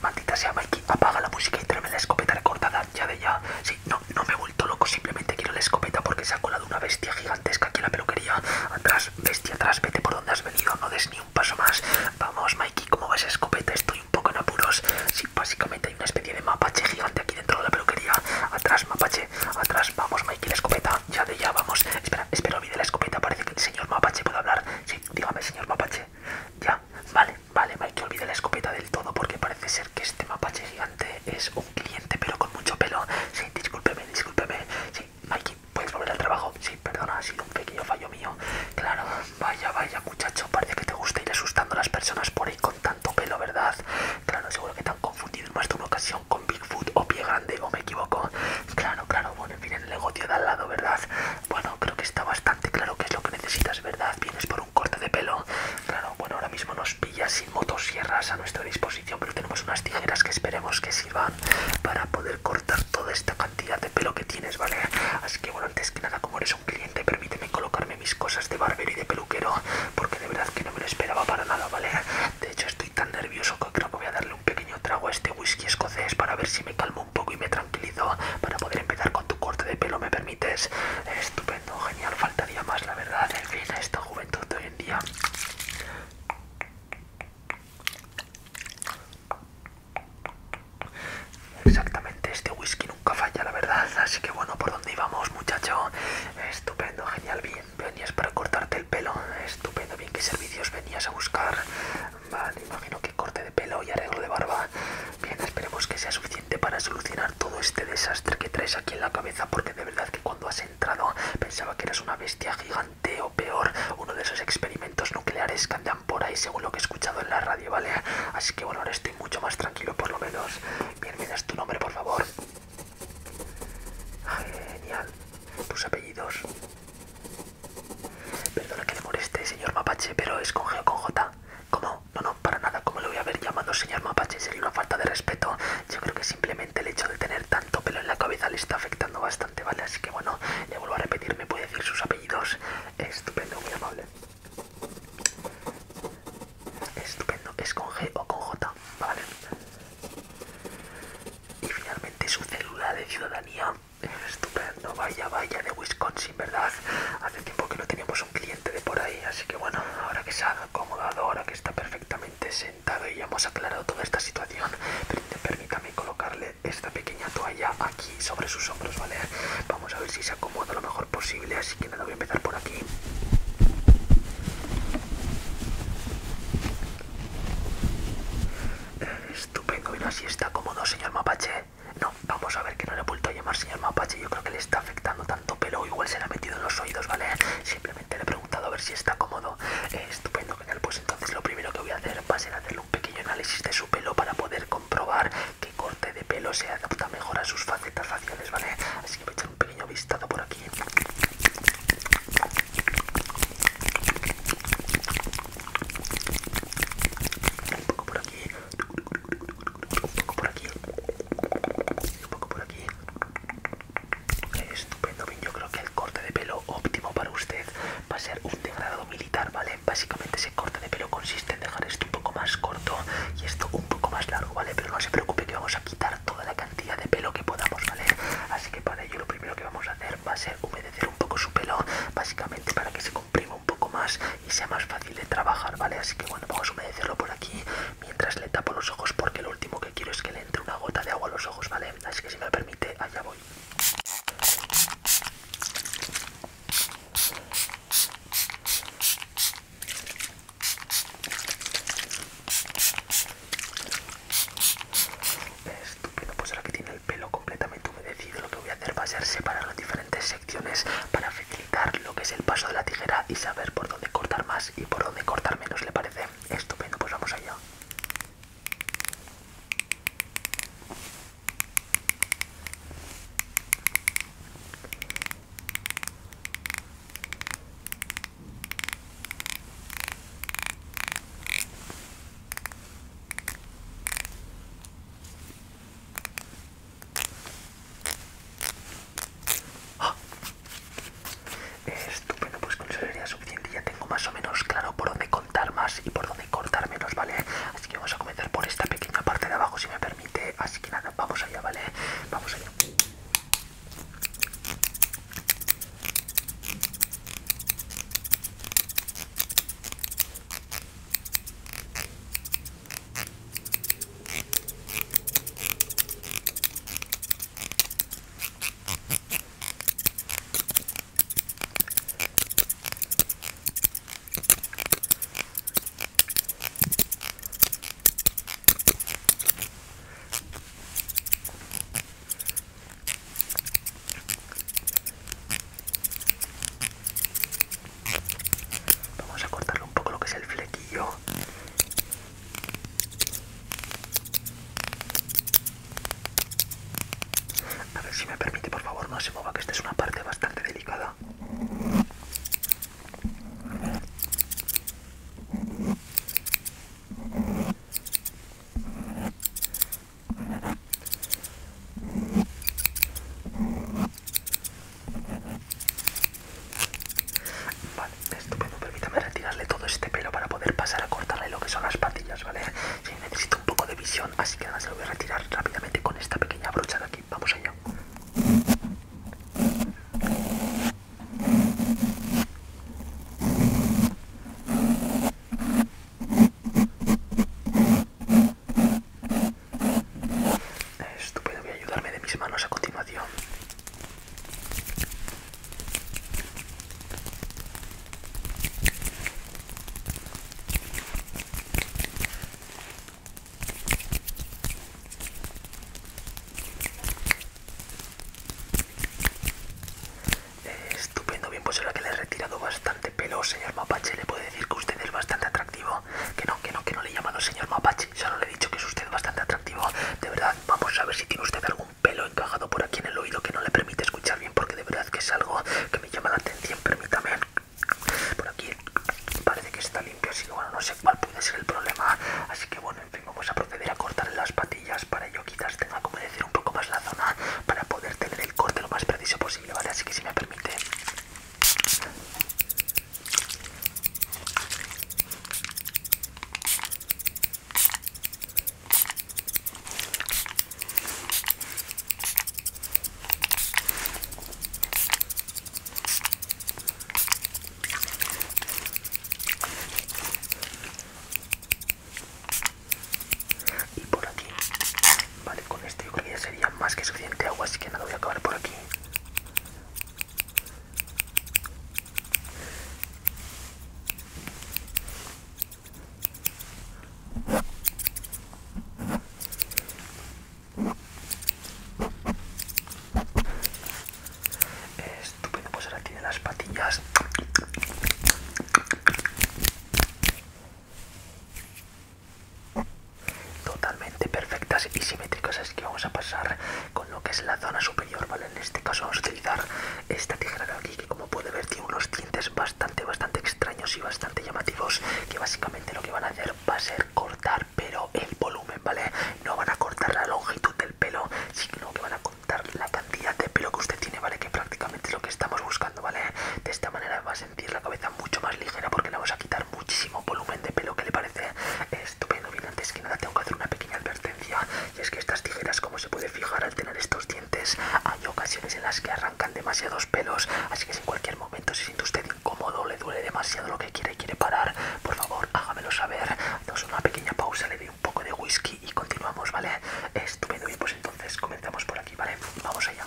Maldita sea, Mikey, apaga la música y tráeme la escopeta recortada, ya de ya. Sí, no, no me he vuelto loco, simplemente quiero la escopeta porque se ha colado una bestia gigantesca aquí en la peluquería atrás bestia atrás, vete por donde has venido, no des ni un paso más. Vamos, Mikey, ¿cómo vas escopeta? Estoy un poco en apuros. Sí, básicamente hay una especie de mapache gigante aquí dentro de la peluquería. Atrás, mapache, atrás, vamos, Mikey, la escopeta, ya de ya, vamos. Espera, espera, olvide la escopeta, parece que el señor mapache puede hablar. Sí, dígame, señor mapache. Ya, vale, vale, Mikey, olvide la escopeta del todo porque parece ser que este mapache gigante es un cliente, pero con mucho pelo. Sí, discúlpeme, discúlpeme. Sí, Mikey, puedes volver al trabajo. Sí, perdona, ha sido un pequeño fallo mío. Claro, vaya, vaya, muchacho, parece que te gusta ir asustando a las personas por ahí con tanto pelo, ¿verdad? Claro, seguro que te han confundido en más de una ocasión con Bigfoot o Pie Grande, o me equivoco. Claro, claro, bueno, en fin, el negocio de al lado, ¿verdad? Bueno, creo que está bastante claro que es lo que necesitas, ¿verdad? Vienes por un corte de pelo. Claro, bueno, ahora mismo nos pillas sin motosierras a nuestro disposición pero tenemos unas tijeras que esperemos que sirvan para poder cortar toda esta cantidad de pelo que tienes, ¿vale? Así que bueno, antes que nada, como eres un cliente, permíteme colocarme mis cosas de barbero y de peluquero, porque de verdad que no me lo esperaba para nada, ¿vale? De hecho, estoy tan nervioso que creo que voy a darle un pequeño trago a este whisky escocés para ver si me calmo un poco y me tranquilizo para poder empezar con tu corte de pelo, ¿me permites? Estupendo, genial, faltaría más, la verdad, en fin, a esta juventud de hoy en día. Exactamente, este whisky nunca falla, la verdad. Así que bueno, ¿por dónde íbamos, muchacho? Estupendo, genial, bien. Venías para cortarte el pelo. Estupendo, bien. ¿Qué servicios venías a buscar? Vale, imagino que corte de pelo y arreglo de barba. Bien, esperemos que sea suficiente para solucionar todo este desastre que traes aquí en la cabeza. Porque de verdad que cuando has entrado pensaba que eras una bestia gigante o peor uno de esos experimentos nucleares que andan por ahí según lo que he escuchado en la radio, ¿vale? Así que bueno, ahora estoy mucho más tranquilo por lo menos. Bien, me tu nombre, por favor. Genial. Tus apellidos. Perdona que le moleste, señor Mapache, pero es con G con J. ¿Cómo? No, no, para nada. ¿Cómo le voy a haber llamado señor Mapache? Sería una falta de respeto. Yo creo que simplemente el hecho de tener tanto pelo en la cabeza le está afectando bastante, ¿vale? Así que bueno, le vuelvo a repetir, me puede decir sus apellidos. Estupendo, muy amable. Estupendo, es con G o con J, ¿vale? Y finalmente su célula de ciudadanía. Estupendo, vaya, vaya, de Wisconsin, ¿verdad? Hace tiempo que no teníamos un cliente de por ahí, así que bueno, ahora que se ha acomodado, ahora que está perfectamente, se y hemos aclarado toda esta situación, pero permítame colocarle esta pequeña toalla aquí sobre sus hombros, ¿vale? Vamos a ver si se acomoda lo mejor posible, así que nada, voy a empezar por aquí. Estupendo, mira, así está cómodo, señor Mapache. No, vamos a ver que no le he vuelto a llamar señor Mapache, yo creo que le está afectando tanto pelo, igual se le ha metido en los oídos, ¿vale? Sí, le he preguntado a ver si está cómodo. Eh, estupendo, Pues entonces lo primero que voy a hacer va a ser hacerle un pequeño análisis de su pelo para poder comprobar qué corte de pelo se adapta mejor a sus facetas faciales, ¿vale? Así que voy a echar un pequeño vistazo por aquí. Un poco por aquí. Un poco por aquí. Un poco por aquí. Estupendo, yo creo que el corte de pelo óptimo para usted va a ser un degradado militar, ¿vale? Básicamente ese corte de pelo consiste en dejar esto un poco más corto y esto un poco más largo, ¿vale? Pero no se preocupe que vamos a quitar toda la cantidad de pelo que podamos, ¿vale? Así que para ello lo primero que vamos a hacer va a ser humedecer un poco su pelo, básicamente para que se comprima un poco más y sea más fácil de trabajar, ¿vale? Así que bueno, vamos a humedecerlo por aquí, mientras le tapo los ojos porque lo último que quiero es que le entre una gota de agua a los ojos, ¿vale? Así que si me permite, allá voy. Estupendo, pues ahora que tiene el pelo completamente humedecido, lo que voy a hacer va a ser separar las diferentes secciones para facilitar lo que es el paso de la tijera y saber por dónde cortar más y por dónde cortar menos, ¿le parece? Estupendo, pues vamos allá. ¡Ah! Estupendo, pues con eso sería suficiente. Ya tengo más o menos claro por dónde contar más y por dónde cortar menos, ¿vale? Así que vamos a comenzar por esta pequeña parte de abajo, si me permite. Así que nada, vamos allá, ¿vale? Vamos allá. Vamos a cortarle un poco lo que es el flequillo a ver si me permite, por favor, no se mueva, que esta es una parte bastante delicada. Vale, estupendo, permítame retirarle todo este pelo para poder pasar a cortarle lo que son las patillas, ¿vale? Sí, necesito un poco de visión, así que nada, se lo voy a retirar rápidamente con esta pequeña brocha de aquí. Vamos allá. Estupendo, voy a ayudarme de mis manos a continuación estupendo, bien, pues ahora que le he retirado bastante pelo, señor Mapache, le puedo decir que usted es bastante atractivo. Que no, que no, que no le llaman al señor Mapache, solo dicho que es usted bastante atractivo. De verdad, vamos a ver si tiene usted algún pelo encajado por aquí en el oído que no le permite escuchar bien, porque de verdad que es algo que me llama la atención. Permítame. Por aquí parece que está limpio, así que bueno, no sé cuál puede ser el problema. Así que bueno, en fin, vamos a proceder a cortar las patillas. Para yo quizás tenga como decir un poco más la zona para poder tener el corte lo más preciso posible, ¿vale? Así que si me permite y por aquí vale con este yo ya sería más que suficiente agua así que nada voy a acabar por aquí Estupendo, pues aquí tiene las patillas. Totalmente perfectas y simétricas, Es que vamos a pasar lo que es la zona superior, ¿vale? En este caso vamos a utilizar esta tijera de aquí que como puede ver tiene unos dientes bastante, bastante extraños y bastante llamativos que básicamente lo que van a hacer va a ser cortar, pero el volumen, ¿vale? No van a cortar la longitud del pelo, sino que van a cortar la cantidad de pelo que usted tiene, ¿vale? Que prácticamente lo que estamos buscando, ¿vale? De esta manera va a sentir la cabeza mucho más ligera porque le vamos a quitar muchísimo volumen de pelo que le parece... Eh, Estupendo, bien, antes que nada tengo que hacer una pequeña advertencia. Y es que estas tijeras, como se puede fijar al tener estos dientes, hay ocasiones en las que arrancan demasiados pelos. Así que si en cualquier momento se siente usted incómodo, le duele demasiado lo que quiere y quiere parar, por favor, hágamelo saber. dos una pequeña pausa, le doy un poco de whisky y continuamos, ¿vale? Estupendo, y pues entonces comenzamos por aquí, ¿vale? Vamos allá.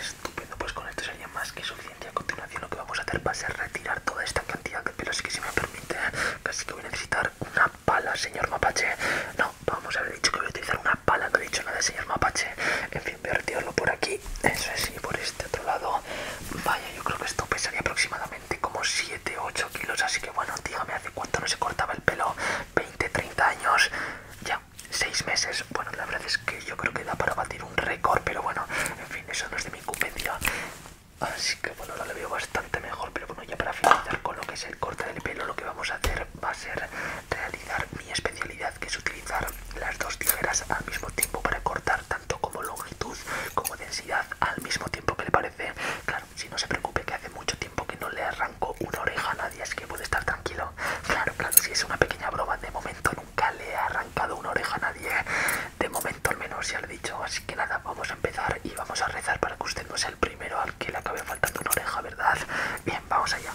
Estupendo, pues con esto sería más que suficiente. A continuación lo que vamos a hacer va a ser retirar toda esta cantidad de pelos que se me permite Así que voy a necesitar una pala, señor mapache. No, vamos a haber dicho que voy a utilizar una pala, no he dicho nada, señor mapache. En fin, voy a retirarlo por aquí. Eso es, y por este otro lado. Vaya, yo creo que esto pesaría aproximadamente como 7 8 kilos. Así que bueno, dígame, ¿hace cuánto no se cortaba el pelo? 20, 30 años. Ya, 6 meses. Bueno, la verdad es que yo creo que da para batir un récord, pero bueno, en fin, eso no es de mi incumbencia. Así que bueno, lo veo bastante mejor, pero bueno, ya para finalizar con lo que es el corte del pelo, lo que vamos a hacer va a ser realizar mi especialidad, que es utilizar las dos tijeras al mismo tiempo para cortar tanto como longitud como densidad al mismo tiempo que le parece. Claro, si no se preocupe que hace mucho tiempo que no le arranco una oreja a nadie, así que puede estar tranquilo. Claro, claro, si es una pequeña broma, de momento nunca le he arrancado una oreja a nadie de momento al menos ya lo he dicho, así que nada, vamos a empezar y vamos a rezar para que usted no sea el primero al que le acabe faltando una oreja, ¿verdad? Bien, vamos allá.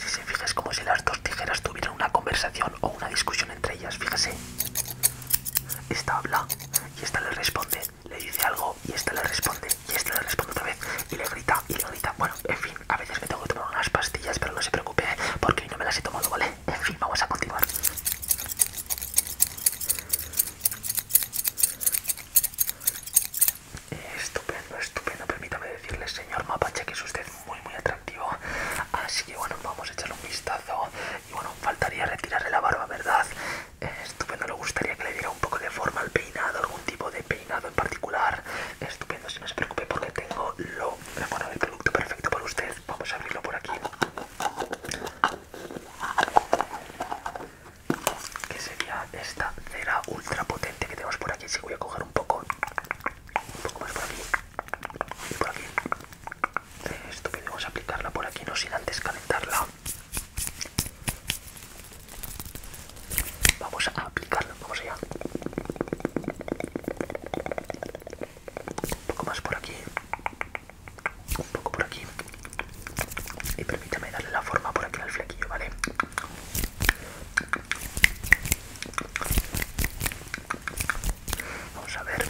Si se fija es como si las dos tijeras tuvieran una conversación o una discusión entre ellas, fíjese. Esta habla y esta le responde, le dice algo y esta le responde y esta le responde otra vez y le grita y le grita. Bueno, en fin, a veces me tengo que tomar unas pastillas, pero no se preocupe ¿eh? porque no me las he tomado, ¿vale? En fin, vamos a continuar. Estupendo, estupendo. Permítame decirle, señor Mapache, que es usted muy, muy atractivo. Así que bueno, vamos a echarle un vistazo. Y bueno, faltaría retirarle la barba, ¿verdad? Estupendo, le gustaría que le diera un poco de forma al peinado, algún tipo de peinado en particular. Estupendo, si no se preocupe porque tengo lo, el producto perfecto para usted. Vamos a abrirlo por aquí. Que sería esta cera ultra potente que tenemos por aquí. Si voy a coger un poco, un poco más por aquí y por aquí. Eh, Estupendo, vamos a aplicarla por aquí, no sin antes calentarla. Vamos a aplicarla, vamos allá. Un poco más por aquí, un poco por aquí. Y permítame darle la forma por aquí al flequillo, ¿vale? Vamos a ver.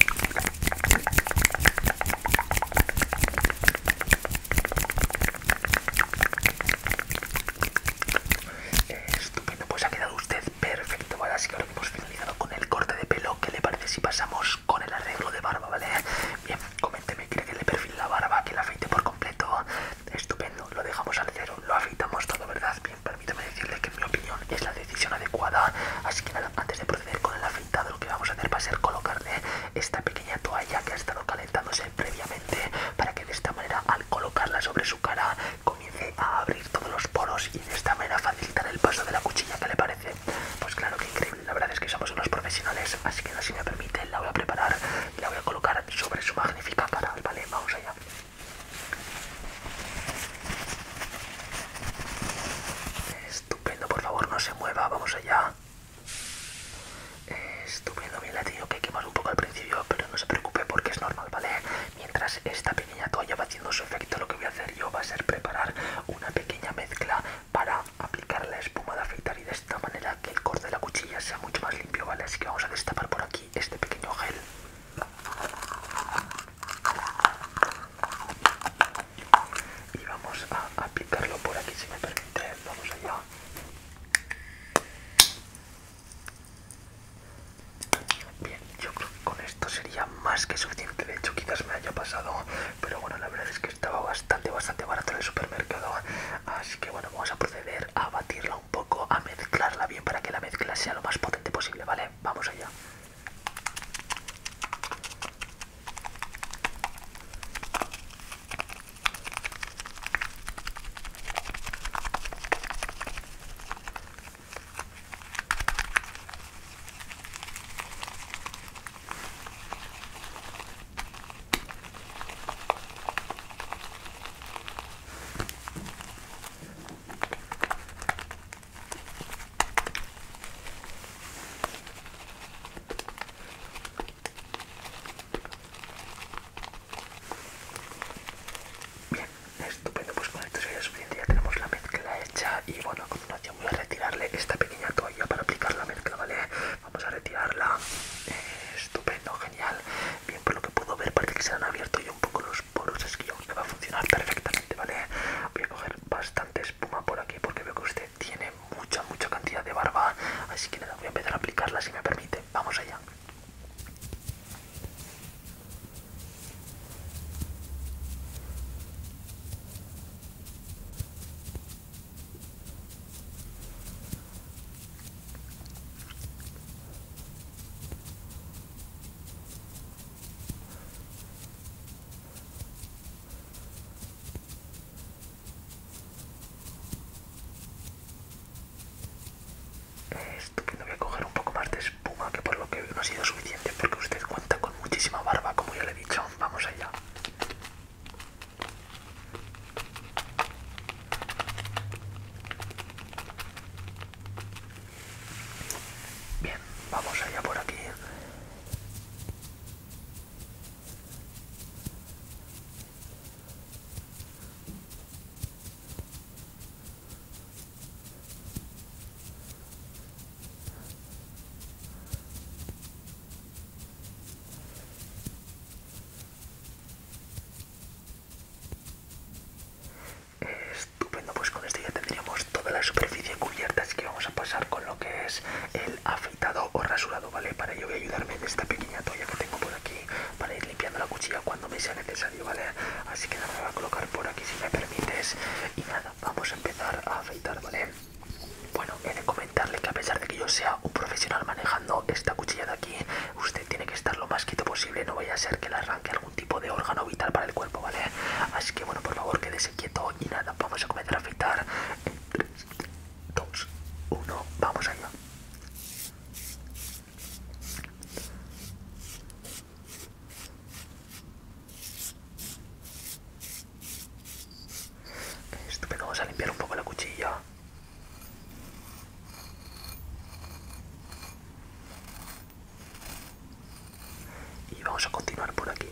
estupendo, pues ha quedado usted perfecto. Ahora sí que ahora hemos finalizado con el corte de pelo. ¿Qué le parece si pasamos con el arreglo de barba, vale? Bien, coménteme, ¿cree que le perfil la barba, que la afeite por completo? estupendo, lo dejamos al cero, lo afeitamos todo, ¿verdad? Bien, permítame decirle que en mi opinión es la decisión adecuada, así que antes de proceder con el afeitado lo que vamos a hacer va a ser colocarle esta pequeña toalla que ha estado calentándose previamente para que de esta manera al colocarla sobre su cara comience a abrir todos los poros y de esta manera facilitar el paso de la cuchilla, ¿qué le parece? Pues claro que increíble, la verdad es que somos unos profesionales, así que no, si me permite la voy a preparar y la voy a colocar sobre su magnífica cara, ¿vale? Vamos allá. Estupendo, por favor, no se mueva, vamos allá. Estupendo, bien, la he que quemar un poco al principio, pero no se preocupe porque es normal, ¿vale? Mientras esta pequeña toalla va haciendo su efecto, lo que voy a hacer yo va a ser preparar una pequeña mezcla para aplicar la espuma de afeitar y de esta manera que el corte de la cuchilla sea mucho más limpio, ¿vale? Así que vamos a destapar por aquí este pequeño gel y vamos a aplicarlo por aquí si me permite vamos allá bien yo creo que con esto sería más que suficiente de hecho quizás me haya pasado pero bueno la verdad es que estaba bastante bastante barato en el supermercado así que bueno vamos a proceder a batirlo poco a mezclarla bien para que la mezcla sea lo más potente posible, ¿vale? Vamos allá. Bien, estupendo, pues con esto sería suficiente, ya tenemos la mezcla hecha y bueno, a continuación voy a retirarle esta pequeña toalla para aplicar la mezcla, ¿vale? Vamos a retirarla. Eh, estupendo, genial. Bien, por lo que puedo ver parece que se han abierto ya un poco los poros. Es que va a funcionar perfectamente, ¿vale? Voy a coger bastante espuma por aquí porque veo que usted tiene mucha, mucha cantidad de barba. Así que nada, voy a empezar a aplicarla si me permite. Vamos allá. Estupendo, voy a coger un poco más de espuma que por lo que no ha sido suficiente porque usted cuenta con muchísima barba, como ya le he dicho. Vamos allá. Bien, vamos allá por aquí. Estupendo, pues con esto ya tendríamos toda la superficie cubierta, así que vamos a pasar con lo que es el afeitado o rasurado, ¿vale? Para ello voy a ayudarme en esta pequeña toalla que tengo por aquí para ir limpiando la cuchilla cuando me sea necesario, ¿vale? Así que nada, voy a colocar por aquí si me permites y nada, vamos a empezar a afeitar, ¿vale? Bueno, he de comentarle que a pesar de que yo sea un profesional manejando esta cuchilla de aquí, usted tiene que estar lo más quieto posible, no vaya a ser que le arranque algún tipo de órgano vital para el cuerpo, ¿vale? Así que bueno, por favor, quédese quieto y nada, vamos a comenzar a afeitar en 3, 2, 1, vamos allá. Estupendo, vamos a limpiar un poco la cuchilla. Y vamos a continuar por aquí.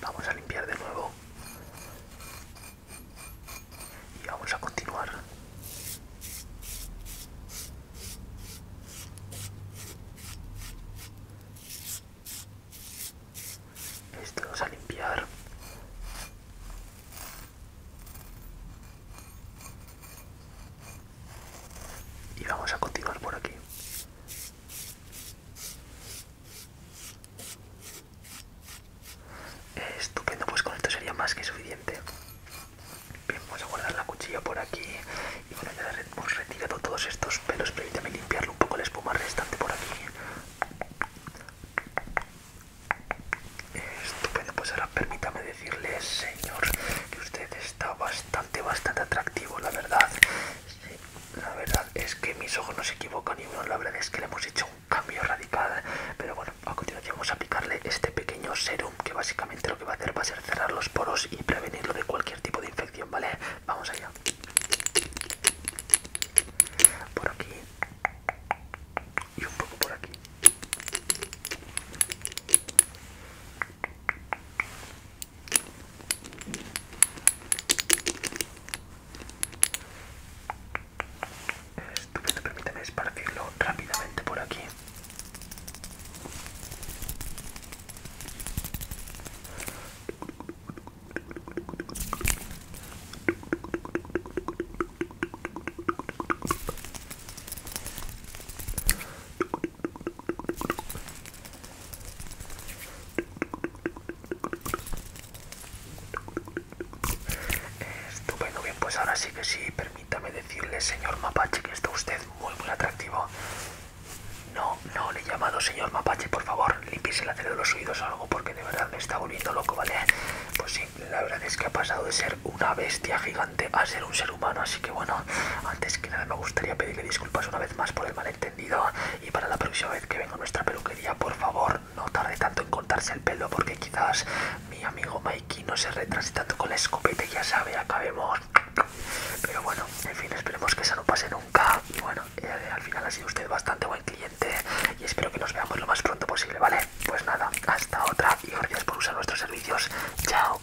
Vamos a limpiar de nuevo. Y vamos a continuar. Esto vamos a limpiar. Y vamos a continuar por aquí. Estupendo, pues con esto sería más que suficiente. vamos a guardar la cuchilla por aquí. Y bueno, ya hemos retirado todos estos pelos. Permítame limpiarle un poco la espuma restante por aquí. Estupendo, pues ahora permítame decirle, señor, que usted está bastante, bastante atractivo, la verdad. La verdad es que mis ojos no se equivocan y bueno, la verdad es que le hemos hecho un cambio radical. Pero bueno, a continuación vamos a aplicarle este pequeño serum que básicamente lo que va a hacer va a ser cerrar los poros y prevenirlo de cualquier tipo de infección, ¿vale? Vamos allá. Por aquí. Y un poco por aquí. Estupendo, permite esparcirlo rápidamente por aquí. Estupendo, bien, pues ahora sí que sí, permítame decirle, señor Mapache, que está usted muy, muy atractivo. No, no le he llamado, señor Mapache, por favor, limpies la tele de los oídos o algo, porque de verdad me está volviendo loco, ¿vale? Pues sí, la verdad es que ha pasado de ser una bestia gigante a ser un ser humano, así que bueno, antes que nada me gustaría pedirle disculpas una vez más por el malentendido y para la próxima vez que venga a nuestra peluquería, por favor, no tarde tanto en cortarse el pelo porque quizás mi amigo Mikey no se retrase tanto con la escopeta ya sabe, acabemos. Pero bueno, en fin, esperemos que eso no pase nunca y bueno, eh, al final ha sido usted bastante buen cliente y espero que nos veamos lo más pronto posible, ¿vale? Pues nada, hasta otra y gracias por usar nuestros servicios. Chao.